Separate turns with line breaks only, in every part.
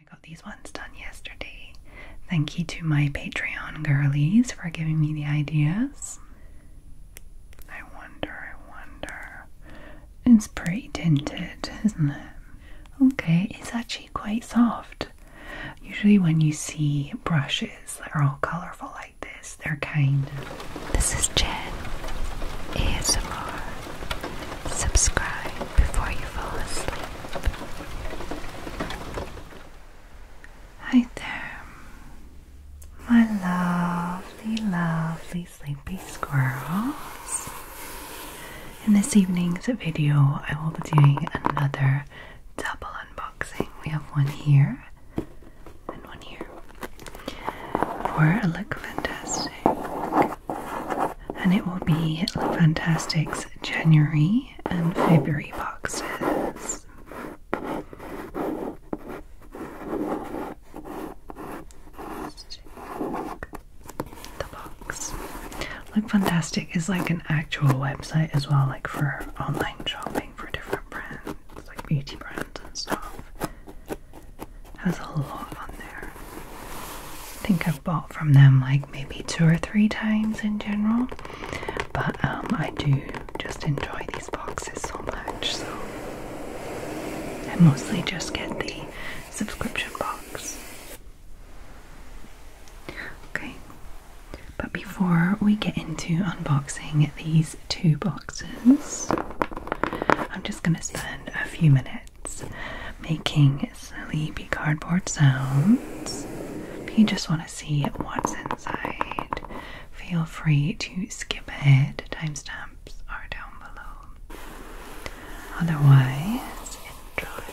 I got these ones done yesterday. Thank you to my Patreon girlies for giving me the ideas. I wonder, I wonder. It's pretty tinted, isn't it? Okay, it's actually quite soft. Usually, when you see brushes that are all colourful like this, they're kind of. This is Jen ASMR. Subscribe before you fall asleep. Hi there, my lovely, lovely sleepy squirrels. In this evening's video, I will be doing another double unboxing. We have one here and one here for a look fantastic and it will be Fantastic's January and February boxes. let the box. Look Fantastic is like an actual website as well, like for online shopping for different brands, like beauty brands and stuff. Has a lot on there. I think I've bought from them like maybe two or three times in general, but um, I do just enjoy these boxes so much. So I mostly just get the subscription box. Okay, but before we get into unboxing these two boxes, I'm just going to spend a few minutes it's making sleepy cardboard sounds. If you just want to see what's inside, feel free to skip ahead. Timestamps are down below. Otherwise, enjoy.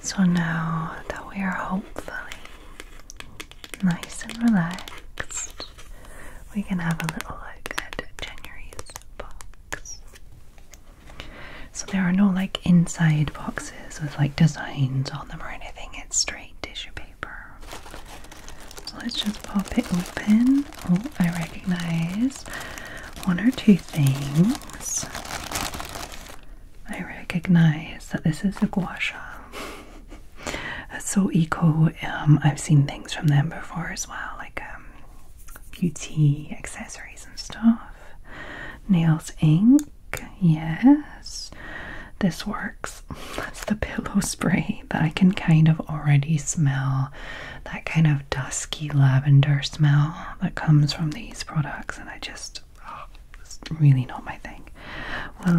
so now that we are hopefully nice and relaxed, we can have a little look at January's box. So there are no like inside boxes with like designs on them or anything. It's straight tissue paper. So let's just pop it open. Oh, I recognize one or two things. I recognize that this is a gua That's so eco. Um, I've seen things from them before as well, like um, beauty accessories and stuff nails ink. Yes, this works. That's the pillow spray that I can kind of already smell that kind of dusky lavender smell that comes from these products, and I just oh, it's really not my thing. Well,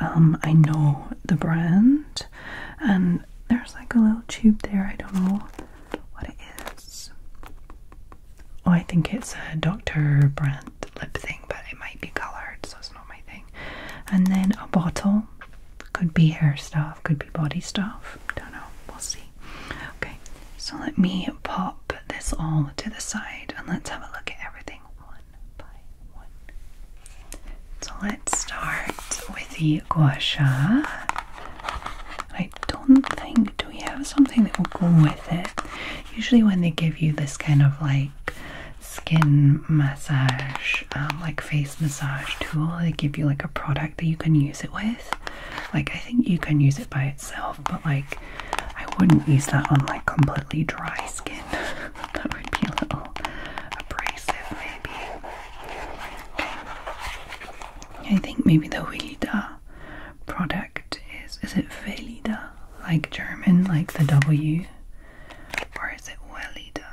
um, I know the brand, and there's like a little tube there. I don't know what it is. Oh, I think it's a Dr. Brandt lip thing, but it might be coloured, so it's not my thing. And then a bottle. Could be hair stuff, could be body stuff. Don't know. We'll see. Okay, so let me pop this all to the side and let's have a look at everything one by one. So let's start with the gua I don't think, do we have something that will go with it? Usually when they give you this kind of like skin massage, um, like face massage tool, they give you like a product that you can use it with. Like I think you can use it by itself, but like I wouldn't use that on like completely dry skin. that would be a little abrasive maybe. I think maybe the Velida product is is it Velida like German like the W or is it Welida?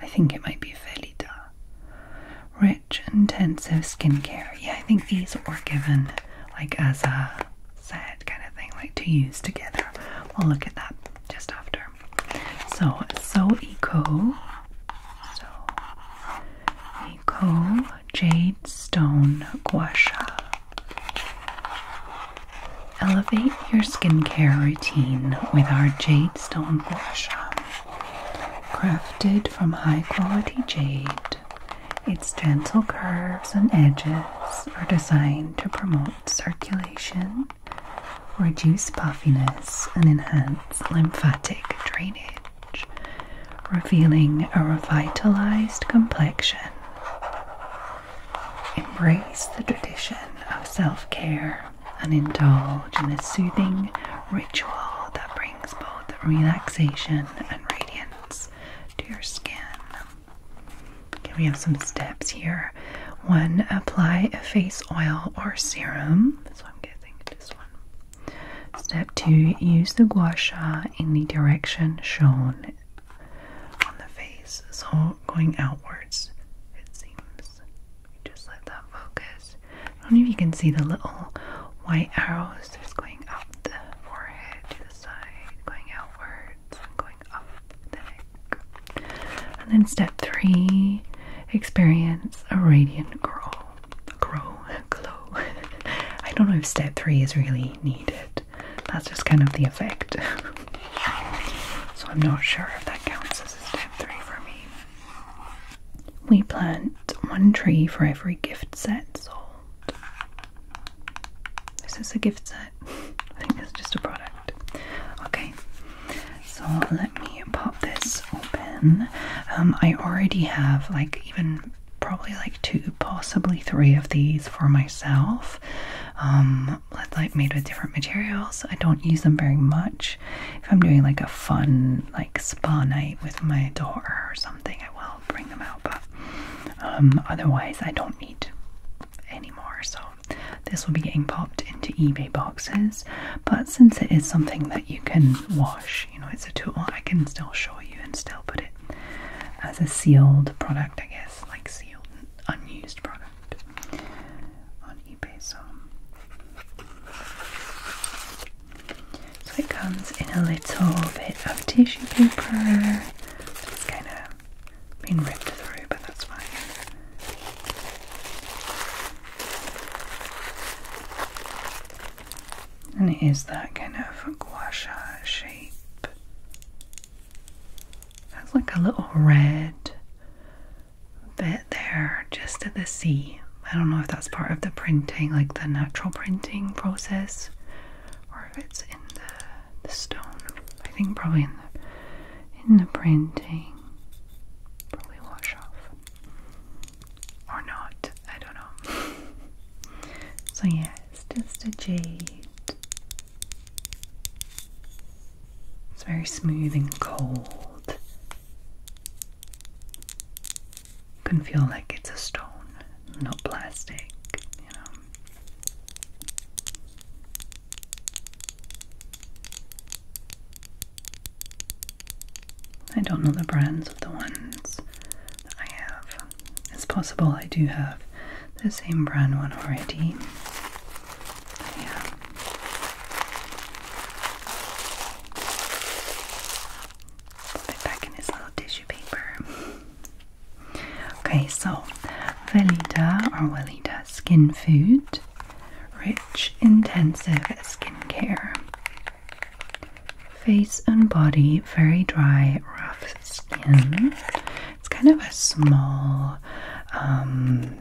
I think it might be Velida. Rich intensive skincare. Yeah, I think these were given like as a set kind of thing, like to use together. We'll look at that just after. So so eco so, Nico Jade Stone Gua Sha. Elevate your skincare routine with our Jade Stone Gua Sha. Crafted from high quality jade, its gentle curves and edges are designed to promote circulation, reduce puffiness, and enhance lymphatic drainage revealing a revitalized complexion. Embrace the tradition of self care and indulge in a soothing ritual that brings both relaxation and radiance to your skin. Okay, we have some steps here. One, apply a face oil or serum. So I'm guessing this one. Step 2. Use the gua sha in the direction shown on the face, so going outwards, it seems. Just let that focus. I don't know if you can see the little white arrows just going up the forehead to the side, going outwards, going up the neck. And then step 3. Experience a radiant girl grow, glow. I don't know if step three is really needed. That's just kind of the effect. so I'm not sure if that counts as a step three for me. We plant one tree for every gift set sold. Is a gift set? I think it's just a product. Okay, so let me pop this open. Um, I already have like even probably like two, possibly three of these for myself. Um, like made with different materials. I don't use them very much. If I'm doing like a fun like spa night with my daughter or something, I will bring them out. But um, otherwise, I don't need anymore. So this will be getting popped into eBay boxes. But since it is something that you can wash you know, it's a tool I can still show you and still put it as a sealed product, I guess, like sealed, unused product on eBay. So, so it comes in a little bit of tissue paper. It's kind of been ripped through, but that's fine. And it is that kind of guasha shape. Has like a little red bit there just at the C. I don't know if that's part of the printing, like the natural printing process, or if it's in the, stone. I think probably in the in the printing. Probably wash off or not, I don't know. so, yeah, it's just a jade. It's very smooth and cold. You can feel like it's a stone, not plastic, you know. I don't know the brands of the ones that I have. It's possible I do have the same brand one already. yeah. Put it back in its little tissue paper. Okay, so Valida or Valida Skin Food. Rich, intensive skincare. Face and body, very dry, rough skin. It's kind of a small, um,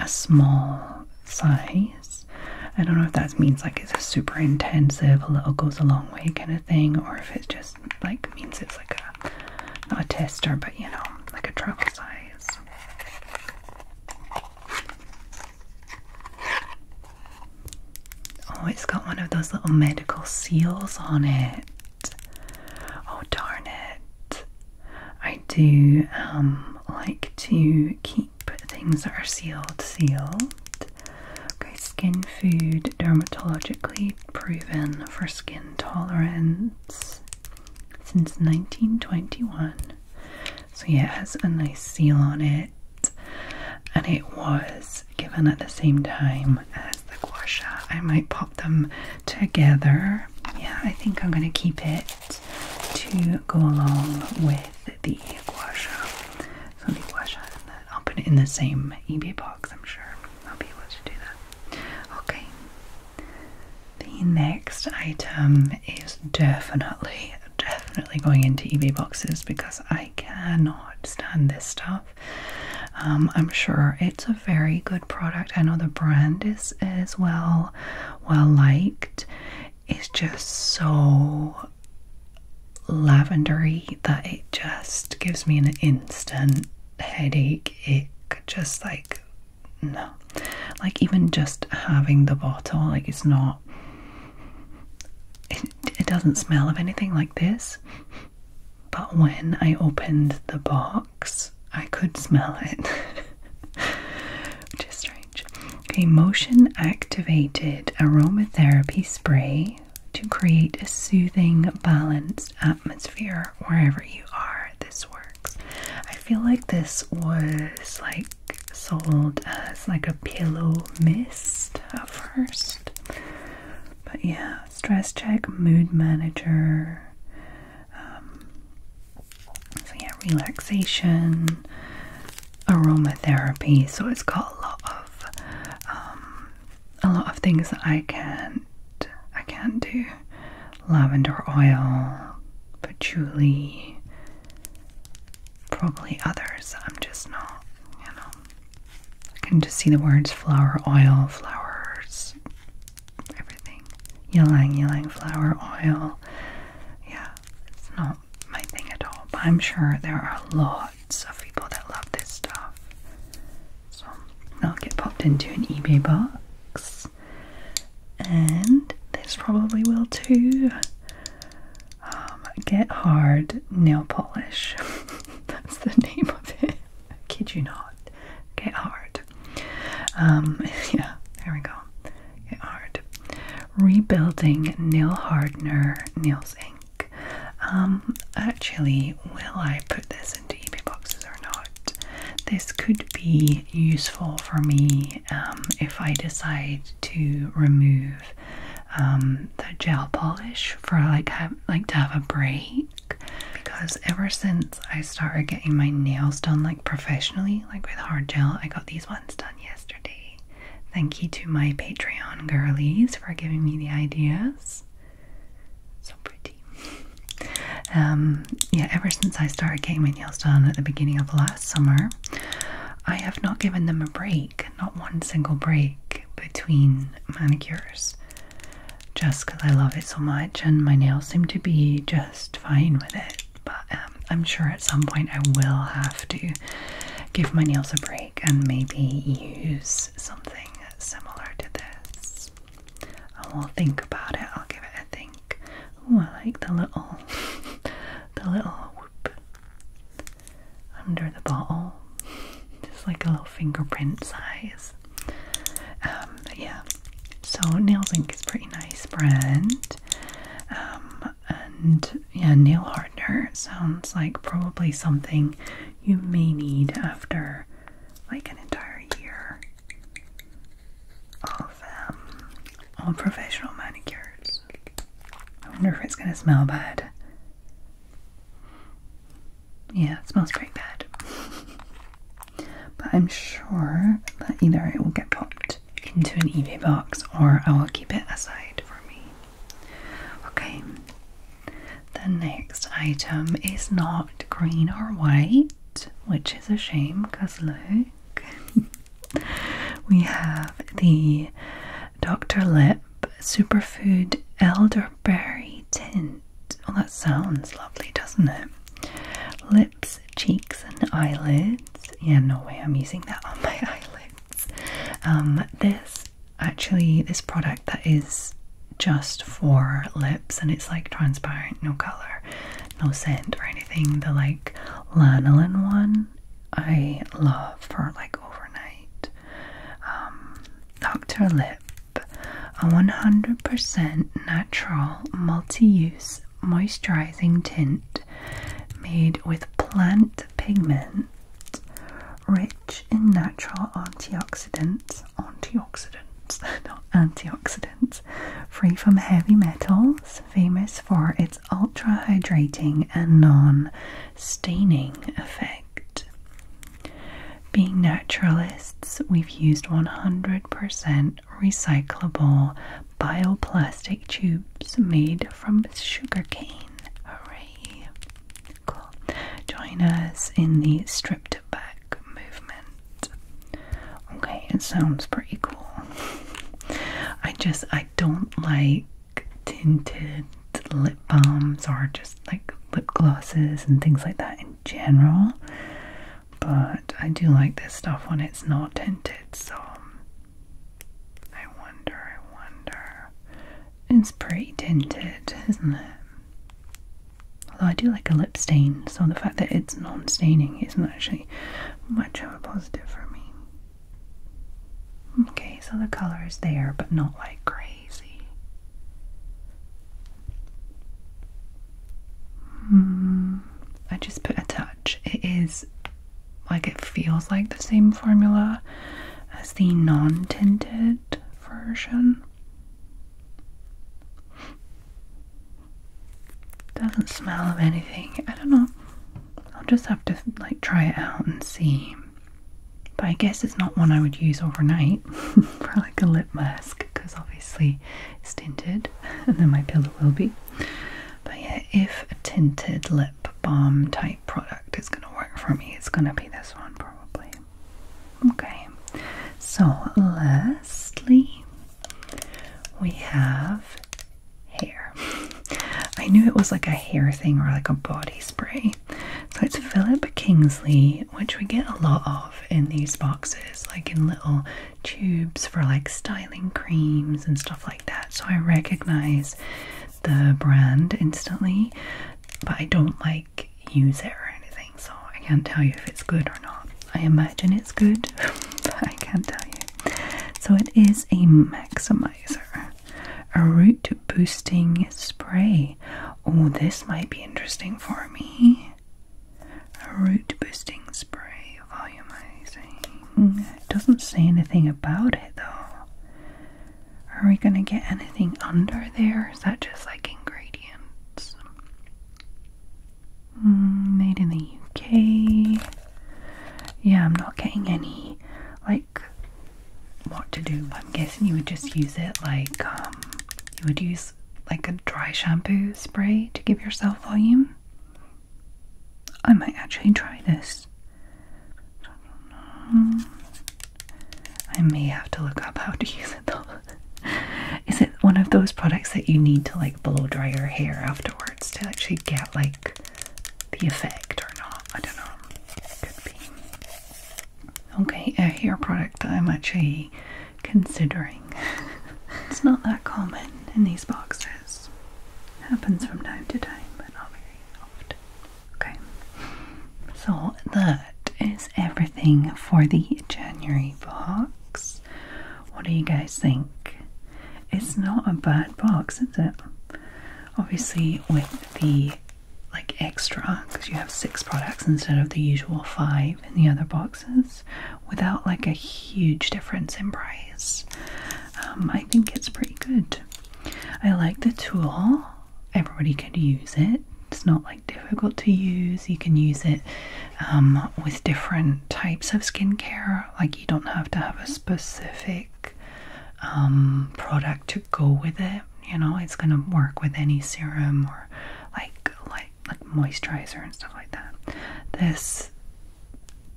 a small size. I don't know if that means like it's a super intensive, a little goes a long way kind of thing, or if it just like means it's like a a tester, but you know, like a travel size. Oh, it's got one of those little medical seals on it. Oh, darn it. I do um, like to keep things that are sealed, sealed. Okay, skin food, dermatologically proven for skin tolerance since 1921. So, yeah, it has a nice seal on it, and it was given at the same time as the guasha. I might pop them together. Yeah, I think I'm going to keep it to go along with the guasha. So, the gua I'll put it in the same eBay box, I'm sure. I'll be able to do that. Okay. The next item is definitely definitely going into eBay boxes because I cannot stand this stuff. Um, I'm sure it's a very good product. I know the brand is is well well liked. It's just so lavendery that it just gives me an instant headache. It just like no, like even just having the bottle, like it's not it, doesn't smell of anything like this, but when I opened the box, I could smell it, which is strange. A motion activated aromatherapy spray to create a soothing, balanced atmosphere wherever you are. This works. I feel like this was like sold as like a pillow mist at first. But yeah, stress check, mood manager. Um, so yeah, relaxation, aromatherapy. So it's got a lot of um, a lot of things that I can I can't do. Lavender oil, patchouli, probably others. I'm just not, you know. I can just see the words flower oil, flowers, everything. Ylang, ylang, flower oil. Yeah, it's not my thing at all. But I'm sure there are lots of people that love this stuff. So i will get popped into an eBay box. And this probably will too. Um, get Hard Nail Polish. That's the name of it. kid you not. Get Hard. Um, yeah, there we go. Get Hard. Rebuilding Nail Hardener Nails Ink. Um, actually, will I put this into eBay boxes or not? This could be useful for me if I decide to remove um, the gel polish for like like to have a break because ever since I started getting my nails done like professionally like with hard gel I got these ones done yesterday thank you to my patreon girlies for giving me the ideas so pretty um, yeah ever since I started getting my nails done at the beginning of last summer I have not given them a break, not one single break between manicures, just because I love it so much and my nails seem to be just fine with it. But um, I'm sure at some point I will have to give my nails a break and maybe use something similar to this. I will think about it, I'll give it a think. Oh, I like the little, the little whoop under the bottle, just like a little fingerprint size. Um, yeah, so Nails Inc. is pretty nice brand. Um, and yeah, nail hardener sounds like probably something you may need after like an entire year of all um, professional manicures. I wonder if it's gonna smell bad. Yeah, it smells pretty bad. but I'm sure that either it will get popped into an eBay box or I will keep it aside for me. Okay. The next item is not green or white, which is a shame because look, we have the Dr. Lip Superfood Elderberry Tint. Oh, that sounds lovely, doesn't it? Lips, cheeks, and eyelids. Yeah, no way, I'm using that on my eyelids. Um, this actually, this product that is just for lips and it's like transparent, no color, no scent or anything. The like lanolin one I love for like overnight. Dr. Um, lip, a 100% natural multi-use moisturizing tint made with plant pigment, rich in natural antioxidants, antioxidants, not antioxidants, free from heavy metals, famous for its ultra hydrating and non staining effect. Being naturalists, we've used 100% recyclable bioplastic tubes made from sugarcane. Hooray! Cool. Join us in the stripped back movement. Okay, it sounds pretty cool. I just, I I don't like tinted lip balms or just like lip glosses and things like that in general, but I do like this stuff when it's not tinted, so I wonder, I wonder. It's pretty tinted, isn't it? Although I do like a lip stain, so the fact that it's non staining isn't actually much of a positive for me. Okay, so the color is there, but not like crazy. Hmm, I just put a touch. It is like it feels like the same formula as the non tinted version. Doesn't smell of anything. I don't know. I'll just have to like try it out and see. But I guess it's not one I would use overnight for like a lip mask because obviously tinted and then my pillow will be. But yeah, if a tinted lip balm type product is going to work for me, it's going to be this one probably. Okay, so lastly, we have hair. I knew it was like a hair thing or like a body spray. So it's Philip Kingsley, which we get a lot of in these boxes, like in little tubes for like styling creams and stuff like that. So I recognize the brand instantly, but I don't like use it or anything, so I can't tell you if it's good or not. I imagine it's good, but I can't tell you. So it is a Maxima a root boosting spray. Oh, this might be interesting for me. A root boosting spray volumizing. It doesn't say anything about it though. Are we gonna get anything under there? Is that just like ingredients? Hmm, made in the UK. Yeah, I'm not getting any like what to do. I'm guessing you would just use it like um, you would use like a dry shampoo spray to give yourself volume. I might actually try this. I may have to look up how to use it though. Is it one of those products that you need to like blow dry your hair afterwards to actually get like the effect or not. I don't know. Could be. Okay, a hair product that I'm actually considering. it's not that common in these boxes. Happens from time to time, but not very often. Okay. So that is everything for the January box. What do you guys think? It's not a bad box, is it? Obviously, with the like extra, because you have six products instead of the usual five in the other boxes, without like a huge difference in price, um, I think it's pretty good. I like the tool, everybody could use it. It's not like difficult to use. You can use it um, with different types of skincare. Like you don't have to have a specific um, product to go with it. You know, it's gonna work with any serum or like like like moisturizer and stuff like that. This,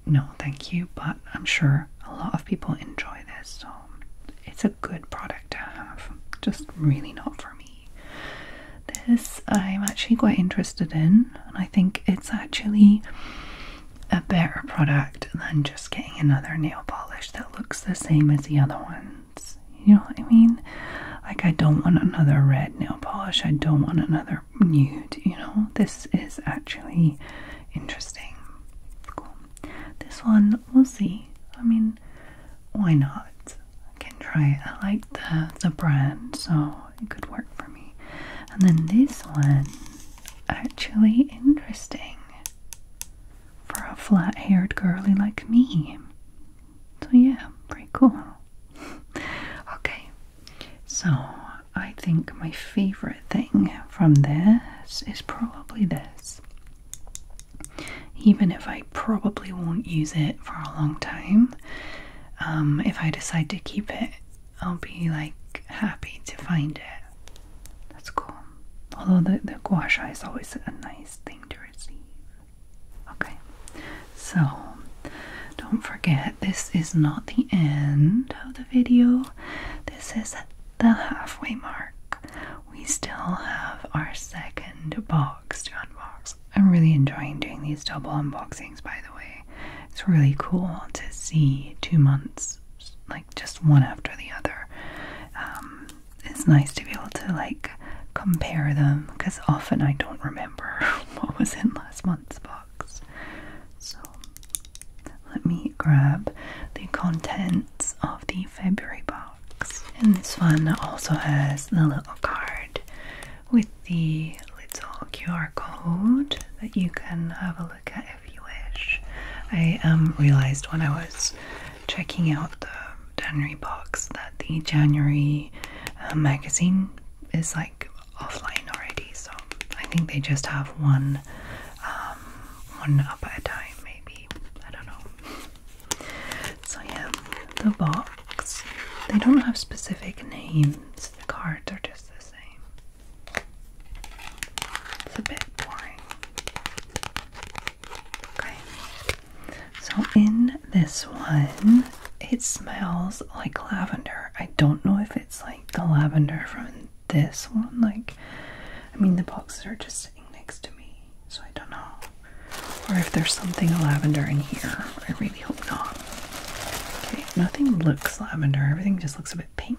no, thank you. But I'm sure a lot of people enjoy this, so it's a good product to have. Just really not for me. This I'm actually quite interested in, and I think it's actually a better product than just getting another nail polish that looks the same as the other ones. You know what I mean? Like, I don't want another red nail polish, I don't want another nude. You know, this is actually interesting. Cool. This one, we'll see. I mean, why not? I can try it. I like the, the brand, so it could work for me. And then this one, actually interesting for a flat haired girly like me. So, yeah, pretty cool. okay, so I think my favorite thing from this is probably this. Even if I probably won't use it for a long time, um, if I decide to keep it, I'll be like happy to find it. That's cool. Although the, the guasha is always a nice thing to receive. Okay, so don't forget this is not the end of the video. This is the halfway mark. We still have our second box to unbox. I'm really enjoying doing these double unboxings, by the it's really cool to see two months, like just one after the other. Um, it's nice to be able to like compare them because often I don't remember what was in last month's box. So let me grab the contents of the February box. And this one also has the little card with the little QR code that you can have a look at if you wish. I um, realized when I was checking out the January box that the January uh, magazine is like offline already, so I think they just have one, um, one up at a time, maybe. I don't know. So yeah, the box. They don't have specific names. The cards are just the same. It's a bit boring. Okay. So in this one, it smells like lavender. I don't know if it's like the lavender from this one. Like, I mean, the boxes are just sitting next to me, so I don't know. Or if there's something lavender in here. I really hope not. Okay, nothing looks lavender. Everything just looks a bit pink.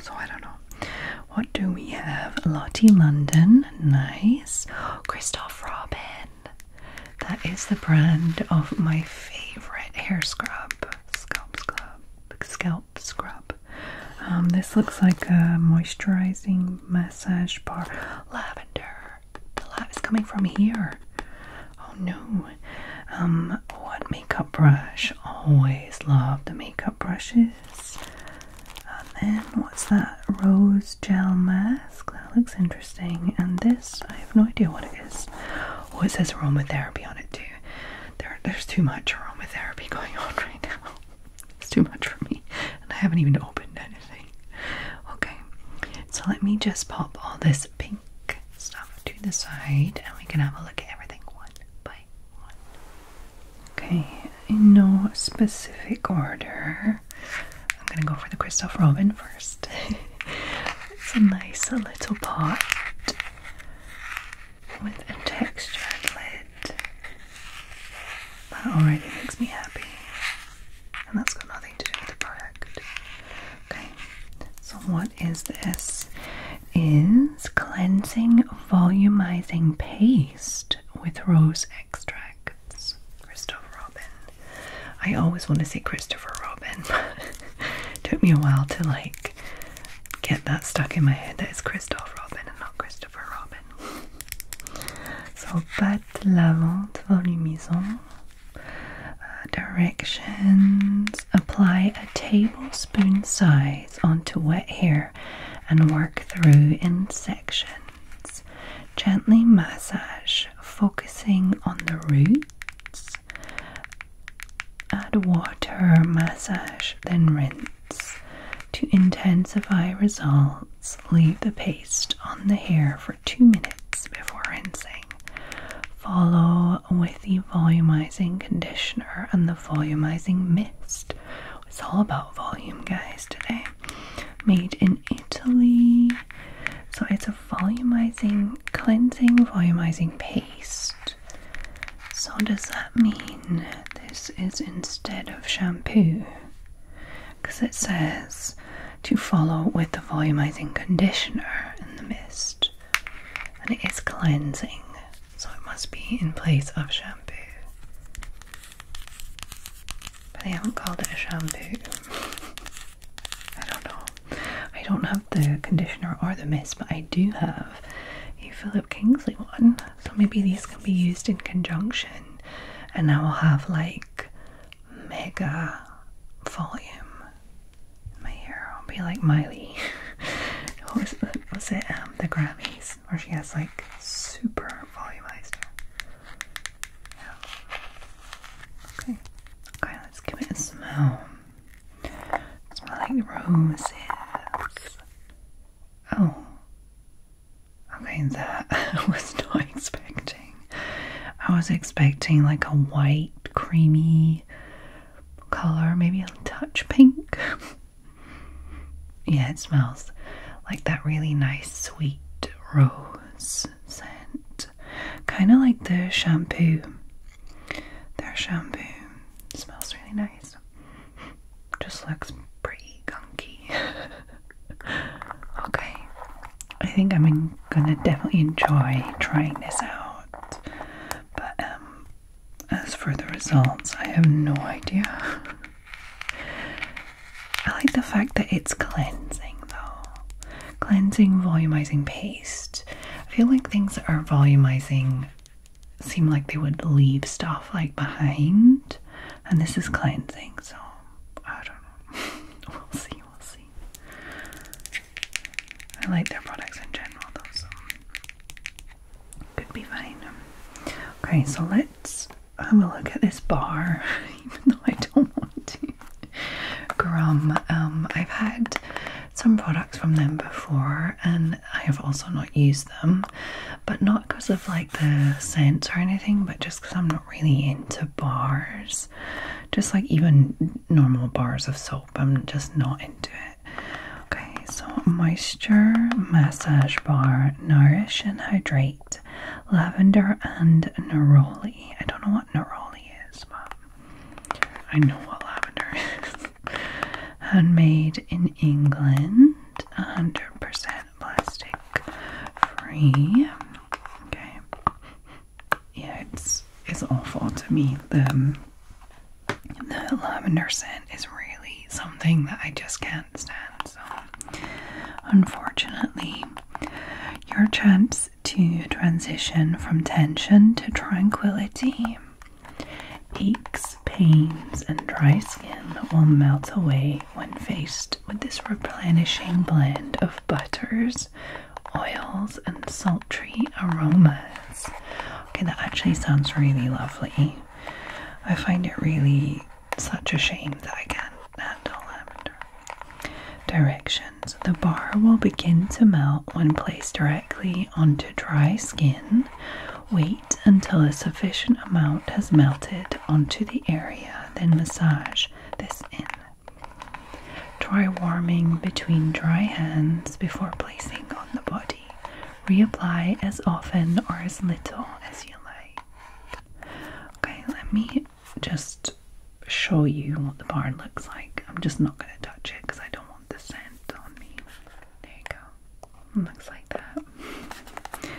So I don't know. What do we have? Lottie London, nice. Christoph Robin. That is the brand of my favorite hair scrub. Scalp scrub. Scalp scrub. Um, this looks like a moisturizing massage bar. Lavender. The lab is coming from here. Oh no. Um, what makeup brush? Always love the makeup brushes. And then what's that? Rose gel mask. That looks interesting. And this, I have no idea what it is. Oh, it says aromatherapy on it too. There, there's too much aromatherapy going on right now. It's too much for me, and I haven't even opened anything. Okay, so let me just pop all this pink stuff to the side and we can have a look at everything one by one. Okay, in no specific order. I'm gonna go for the Christoph Robin first. it's a nice little pot with a textured lid. That already makes me happy. And that's got nothing to do with the product. Okay, so what is this? Is cleansing volumizing paste with rose extracts. Christopher Robin. I always want to say Christopher Robin, but took me a while to like get that stuck in my head that it's Christopher Robin and not Christopher Robin. So pâte lavante volumisant. Uh, directions apply tablespoon size onto wet hair and work through in sections. Gently massage, focusing on the roots. Add water, massage, then rinse. To intensify results, leave the paste on the hair for two minutes before rinsing. Follow with the volumizing conditioner and the volumizing mist. It's all about volume, guys, today. Made in Italy. So it's a volumizing, cleansing, volumizing paste. So, does that mean this is instead of shampoo? Because it says to follow with the volumizing conditioner and the mist and it is cleansing, so it must be in place of shampoo. But they haven't called it a shampoo. I don't know. I don't have the conditioner or the mist, but I do have a Philip Kingsley one. So maybe these can be used in conjunction, and I will have like mega volume my hair will be like Miley. what was, it? was it um, the Grammys where she has like super volumized hair? Okay. Okay, let's give it a smell. It like roses. Oh. Okay, that I was not expecting. I was expecting like a white, creamy color, maybe a touch pink. yeah, it smells like that really nice sweet rose scent. Kind of like their shampoo. Their shampoo smells really nice. Just looks pretty gunky. okay, I think I'm gonna definitely enjoy trying this out. But um, as for the results, I have no idea. I like the fact that it's cleansing though. Cleansing, volumizing paste. I feel like things that are volumizing seem like they would leave stuff like behind, and this is cleansing, so I don't know. we'll see, we'll see. I like their products in general though, so could be fine. Okay, so let's have a look at this bar, even though I don't want to. Grum, um, I've had some products from them before and I have also not used them, but not because of like the scent or anything, but just because I'm not really into bars. Just like even normal bars of soap. I'm just not into it. Okay, so moisture massage bar, nourish and hydrate, lavender and neroli. I don't know what neroli is, but I know what lavender is. Handmade in England, 100% plastic free. Okay, yeah, it's it's awful to me. Um, the lavender scent is really something that I just can't stand. So, unfortunately, your chance to transition from tension to tranquility, aches, pains, and dry skin will melt away when faced with this replenishing blend of butters, oils and sultry aromas. Okay, that actually sounds really lovely. I find it really such a shame that I can't handle lavender. Directions The bar will begin to melt when placed directly onto dry skin. Wait until a sufficient amount has melted onto the area, then massage this in. Try warming between dry hands before placing on the body. Reapply as often or as little as you like. Okay, let me just show you what the bar looks like. I'm just not going to touch it because I don't want the scent on me. There you go. looks like that.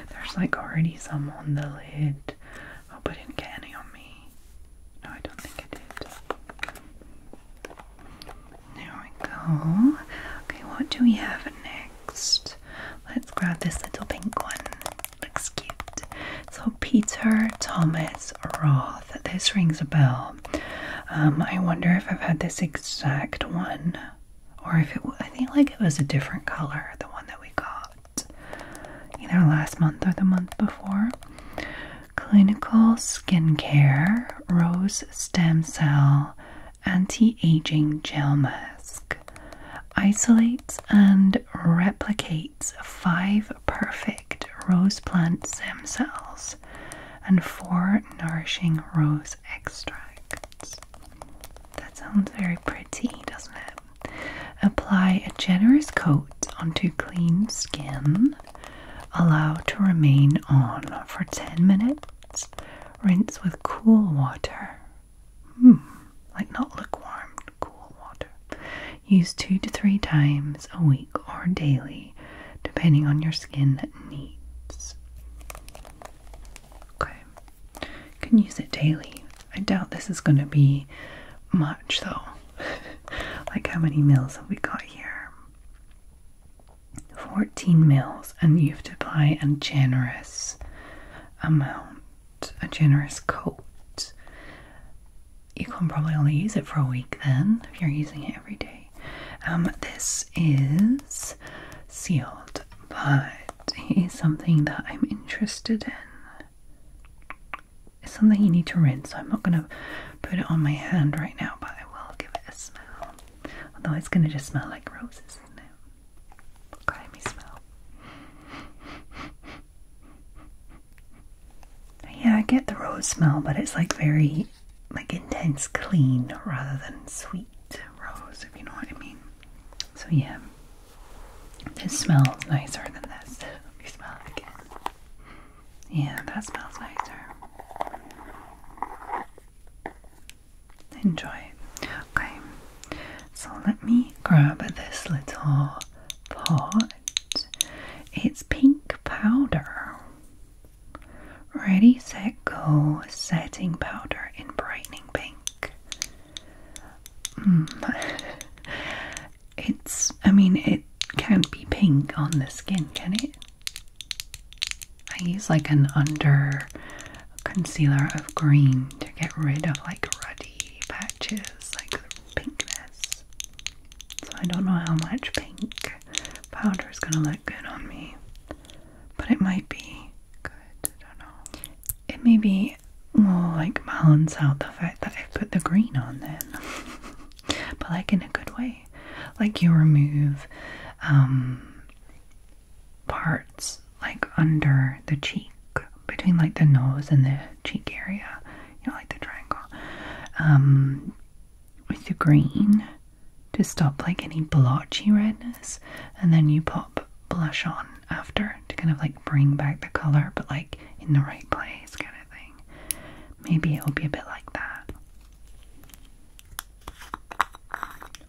There's like already some on the lid. I hope I did get any on me. No, I don't think I did. There we go. Okay, what do we have next? Let's grab this little pink one. Looks cute. So, Peter Thomas Roth. This rings a bell. Um, I wonder if I've had this exact one, or if it. I think like it was a different color, the one that we got either last month or the month before clinical skincare rose stem cell anti-aging gel mask isolates and replicates five perfect rose plant stem cells and four nourishing rose extracts that sounds very pretty doesn't it apply a generous coat onto clean skin Allow to remain on for 10 minutes. Rinse with cool water. Hmm, like not lukewarm, cool water. Use two to three times a week or daily, depending on your skin needs. Okay, can use it daily. I doubt this is going to be much though. like, how many meals have we got here? 14 mils, and you have to buy a generous amount, a generous coat. You can probably only use it for a week then if you're using it every day. Um, this is sealed, but it is something that I'm interested in. It's something you need to rinse. so I'm not going to put it on my hand right now, but I will give it a smell. Although it's going to just smell like roses, isn't it? Crimey smell. Yeah, I get the rose smell, but it's like very like intense clean rather than sweet rose, if you know what I mean. So yeah. This smells nicer than this. Let smell it again. Yeah, that smells nicer. Enjoy. Okay, so let me grab this little pot. It's pink powder. Ready, set, go. Setting powder in brightening pink. Mm. it's, I mean, it can't be pink on the skin, can it? I use like an under concealer of green to get rid of like ruddy patches, like pinkness. So I don't know how much pink powder is gonna look good on me, but it might be good. I don't know. It may be more like balance out the fact that I put the green on then. but like in a good way. Like you remove um, parts like under the cheek, between like the nose and the cheek area, you know, like the triangle, um, with the green to stop like any blotchy redness, and then you pop blush on after to kind of like bring back the color, but like in the right place, kind of thing. Maybe it'll be a bit like that.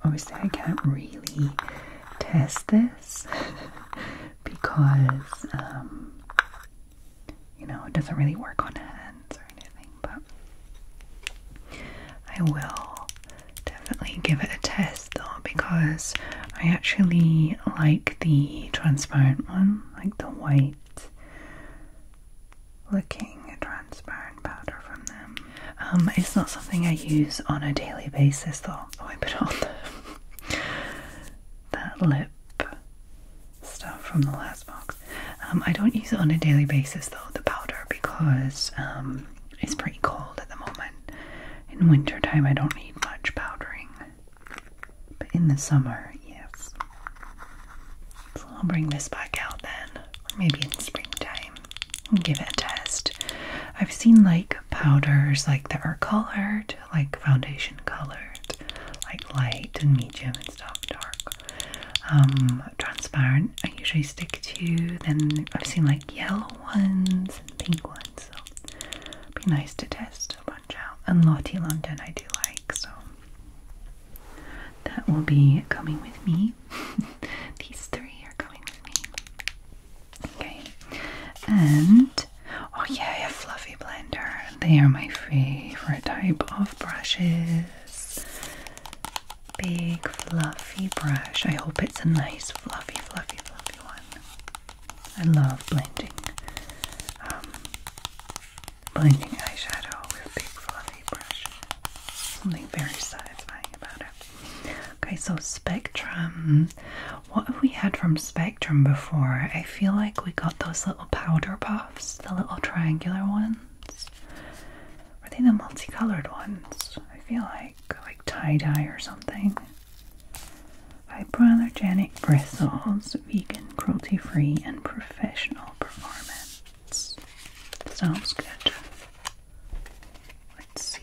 Obviously, I can't really test this because, um, you know, it doesn't really work on hands or anything, but I will definitely give it a test though because I actually like the transparent one, like the white looking transparent powder from them. Um, it's not something I use on a daily basis though. Oh, I put on the, that lip stuff from the last box. Um, I don't use it on a daily basis though, the powder, because um, it's pretty cold at the moment. In winter time I don't need much powdering. But in the summer, yes. So I'll bring this back out then, or maybe in springtime, and give it a test. I've seen like powders like that are colored, like foundation colored, like light and medium and stuff, dark, um, transparent. I usually stick to. Then I've seen like yellow ones and pink ones, so it'd be nice to test a bunch out. And Lottie London I do like, so that will be coming with me. These three are coming with me. Okay. And oh yeah, a fluffy blender. They are my favorite type of brushes. Big fluffy brush. I hope it's a nice fluffy, fluffy, fluffy one. I love blending um, blending eyeshadow with big fluffy brush. Something very satisfying about it. Okay, so Spectrum. What have we had from Spectrum before? I feel like we got those little powder puffs, the little triangular ones. Were they the multicolored ones? I feel like like tie-dye or something. Hypoallergenic bristles, vegan, cruelty-free, and professional performance. Sounds good. Let's see.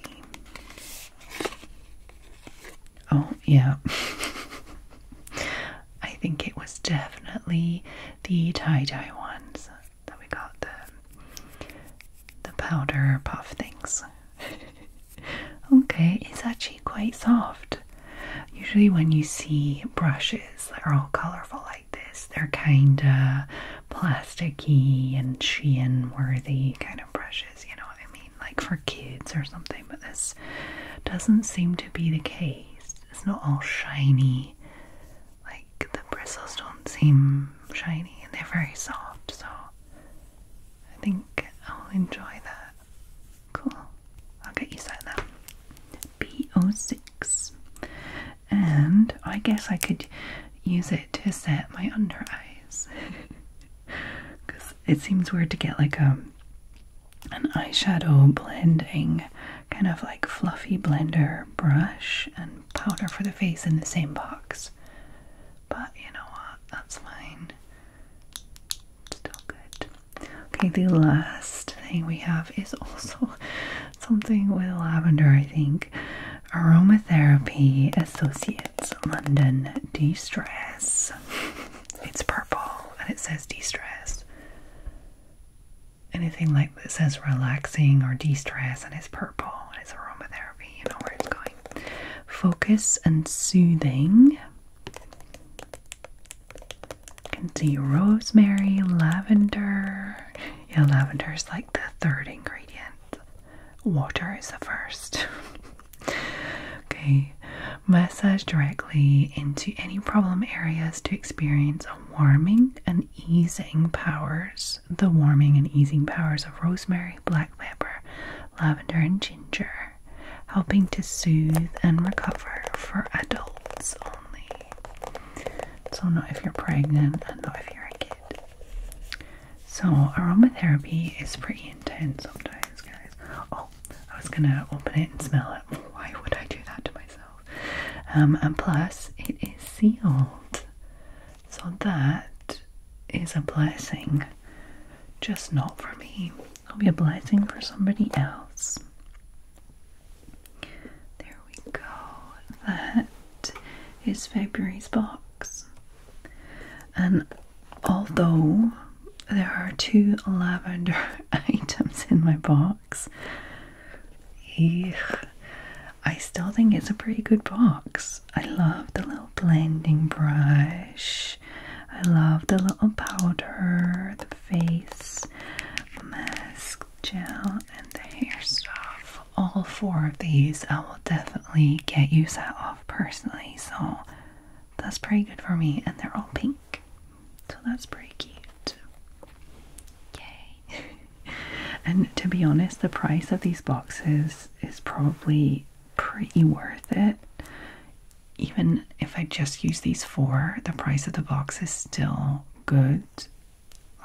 Oh, yeah. I think it was definitely the tie-dye ones that we got the the powder puff things. okay, it's actually quite soft. Usually, when you see brushes that are all colorful like this, they're kind of plasticky and Shein worthy kind of brushes, you know what I mean? Like for kids or something, but this doesn't seem to be the case. It's not all shiny, like the bristles don't seem shiny and they're very soft, so I think I'll enjoy that. Cool. I'll get you set that b 6 And I guess I could use it to set my under eyes. Because it seems weird to get like a um, an eyeshadow blending kind of like fluffy blender brush and powder for the face in the same box. But you know what? That's fine. Still good. Okay, the last thing we have is also something with lavender, I think. Aromatherapy Associates London De Stress. It's purple and it says de stress. Anything like that says relaxing or de stress and it's purple it's aromatherapy, you know where it's going. Focus and soothing. You can see rosemary, lavender. Yeah, lavender is like the third ingredient. Water is the first. okay, massage directly into any problem areas to experience a warming and easing powers. The warming and easing powers of rosemary, black pepper, lavender, and ginger, helping to soothe and recover for adults only. So, not if you're pregnant and not if you're a kid. So, aromatherapy is pretty intense sometimes, guys. Oh, I was gonna open it and smell it. Why would I do that to myself? Um, and plus, it is sealed. So, that is a blessing. Just not for me. It'll be a blessing for somebody else. There we go. That is February's box. And although there are two lavender items in my box, I still think it's a pretty good box. I love the little blending brush. I love the little powder, face mask, gel, and the hair stuff. All four of these I will definitely get you set off personally, so that's pretty good for me. And they're all pink, so that's pretty cute. Okay, and to be honest, the price of these boxes is probably pretty worth it even if I just use these four, the price of the box is still good,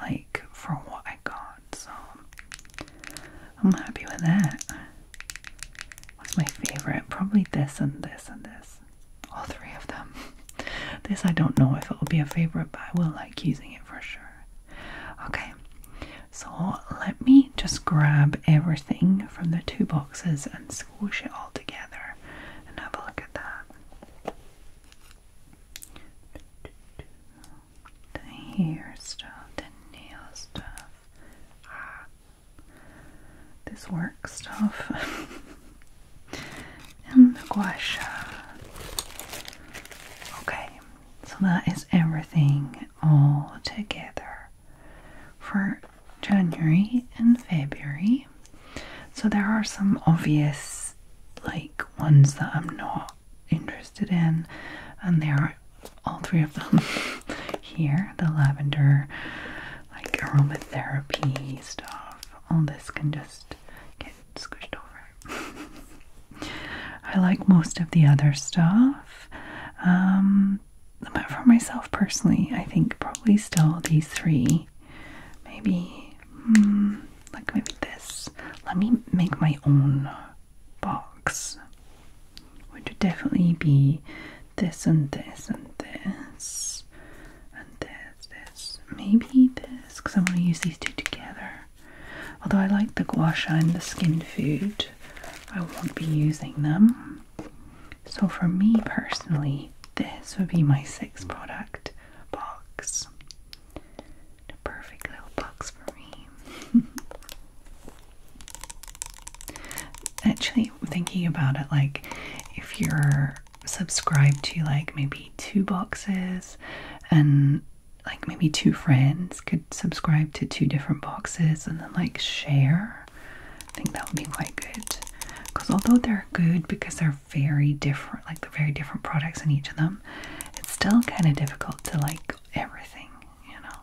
like for what I got. So I'm happy with that. What's my favorite? Probably this and this and this. All three of them. This I don't know if it will be a favorite, but I will like using it for sure. Okay, so let me just grab everything from the two boxes and squish it all together and have a look at that. The hair stuff, the nail stuff. Ah, this work stuff. and the gua Okay, so that is everything all together for January and February. So there are some obvious like ones that I'm not interested in and there are all three of them here. The lavender like aromatherapy stuff. All this can just get squished over. I like most of the other stuff. Um but for myself personally, I think probably still these three maybe hmm, like maybe this let me make my own box would definitely be this and this and this and this this maybe this because I want to use these two together although I like the guasha and the skin food I won't be using them so, for me personally, this would be my sixth product box. The perfect little box for me. Actually, thinking about it, like if you're subscribed to like maybe two boxes and like maybe two friends could subscribe to two different boxes and then like share I think that would be quite good. Because although they're good because they're very different, like they're very different products in each of them, it's still kind of difficult to like everything, you know.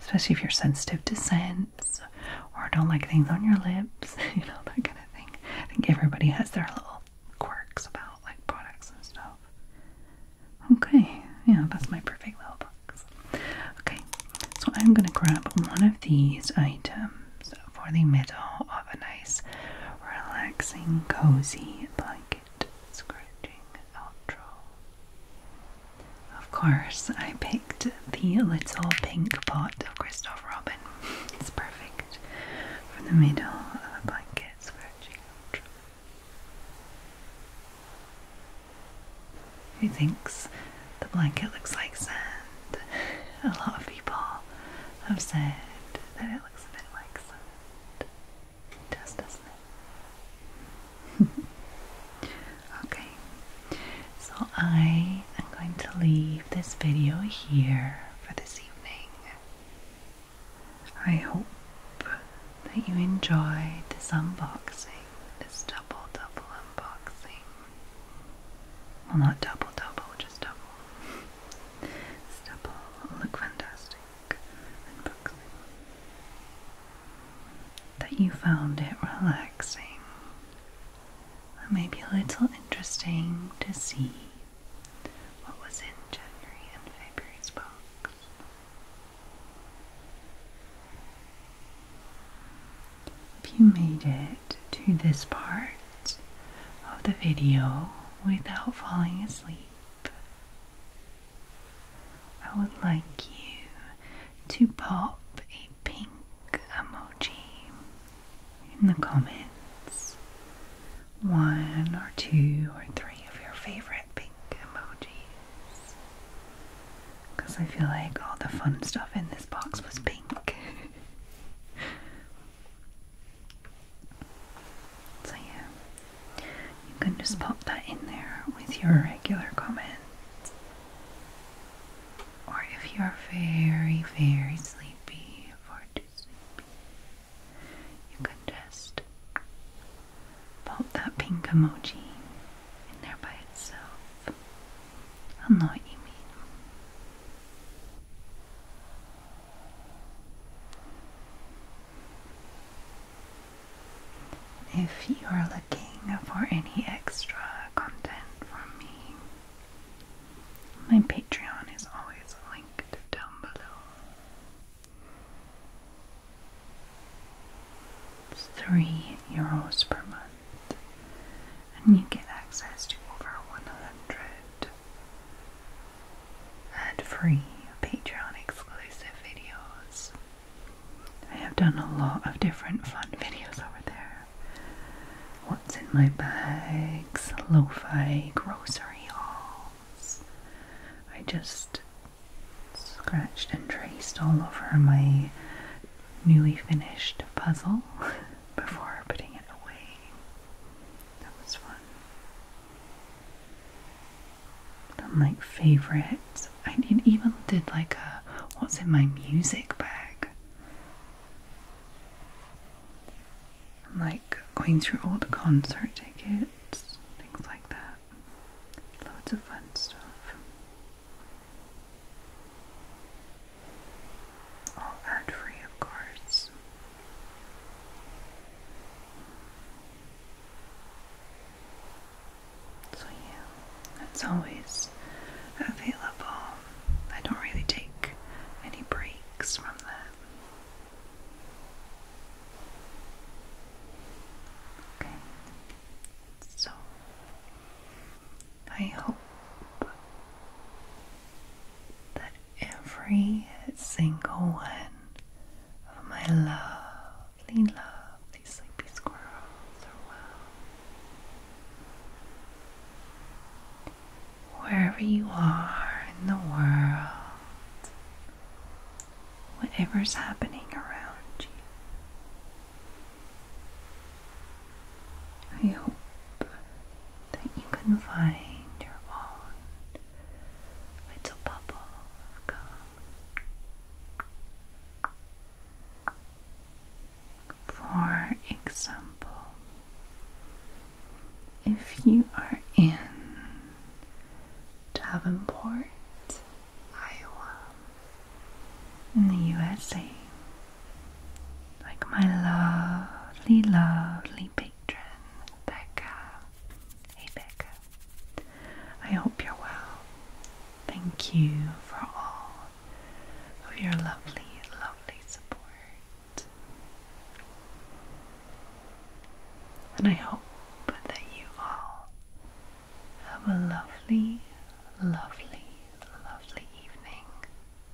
Especially if you're sensitive to scents or don't like things on your lips, you know, that kind of thing. I think everybody has their little quirks about like products and stuff. Okay, yeah, that's my perfect little box. Okay, so I'm gonna grab one of these items just for the middle of a nice, relaxing, cozy blanket scratching outro. Of course, I picked the little pink pot of Christopher Robin. It's perfect for the middle of a blanket scratching outro. Who thinks the blanket looks like sand. A lot of people have said that it looks a bit like sand. It does, doesn't it? okay, so I am going to leave this video here for this evening. I hope that you enjoyed this unboxing, this double double unboxing. Well, not double, double, just double. Stubble look fantastic and boxing. That you found it relaxing. Maybe a little interesting to see what was in January and February's box. If you made it to this part of the video without falling asleep, I would like you to pop a pink emoji in the comments. One or two or three of your favorite pink emojis. Because I feel like all the fun stuff in this box was pink. so yeah, you can just pop that in there with your regular comments. Or if you're very, very sleepy, far too sleepy, you can just pop that pink emoji in there by itself. i know what you mean. If you are looking for any extra content from me, my Patreon is always linked down below. three euros per month and you get access to over 100 ad-free Patreon exclusive videos. I have done a lot of different fun videos over there. What's in my bags, lo-fi grocery hauls. I just scratched and traced all over my newly finished puzzle. before putting it away. That was fun. Then like favorites. I even did like a what's in my music bag. like going through all the concert tickets, things like that. Loads of fun stuff. All ad free, of course. So, yeah, it's always available. I don't really take any breaks from that. Okay, so I hope that every single one of my lovely, lovely sleepy squirrels are well. Wherever you are in the world, whatever's happening around you, I hope that you can find your own little bubble For example, if you are in Davenport, Iowa, in the USA, like my lovely, lovely patron, Becca. Hey, Becca. I hope you're well. Thank you for all of your lovely, lovely support. And I hope that you all have a lovely, lovely, lovely evening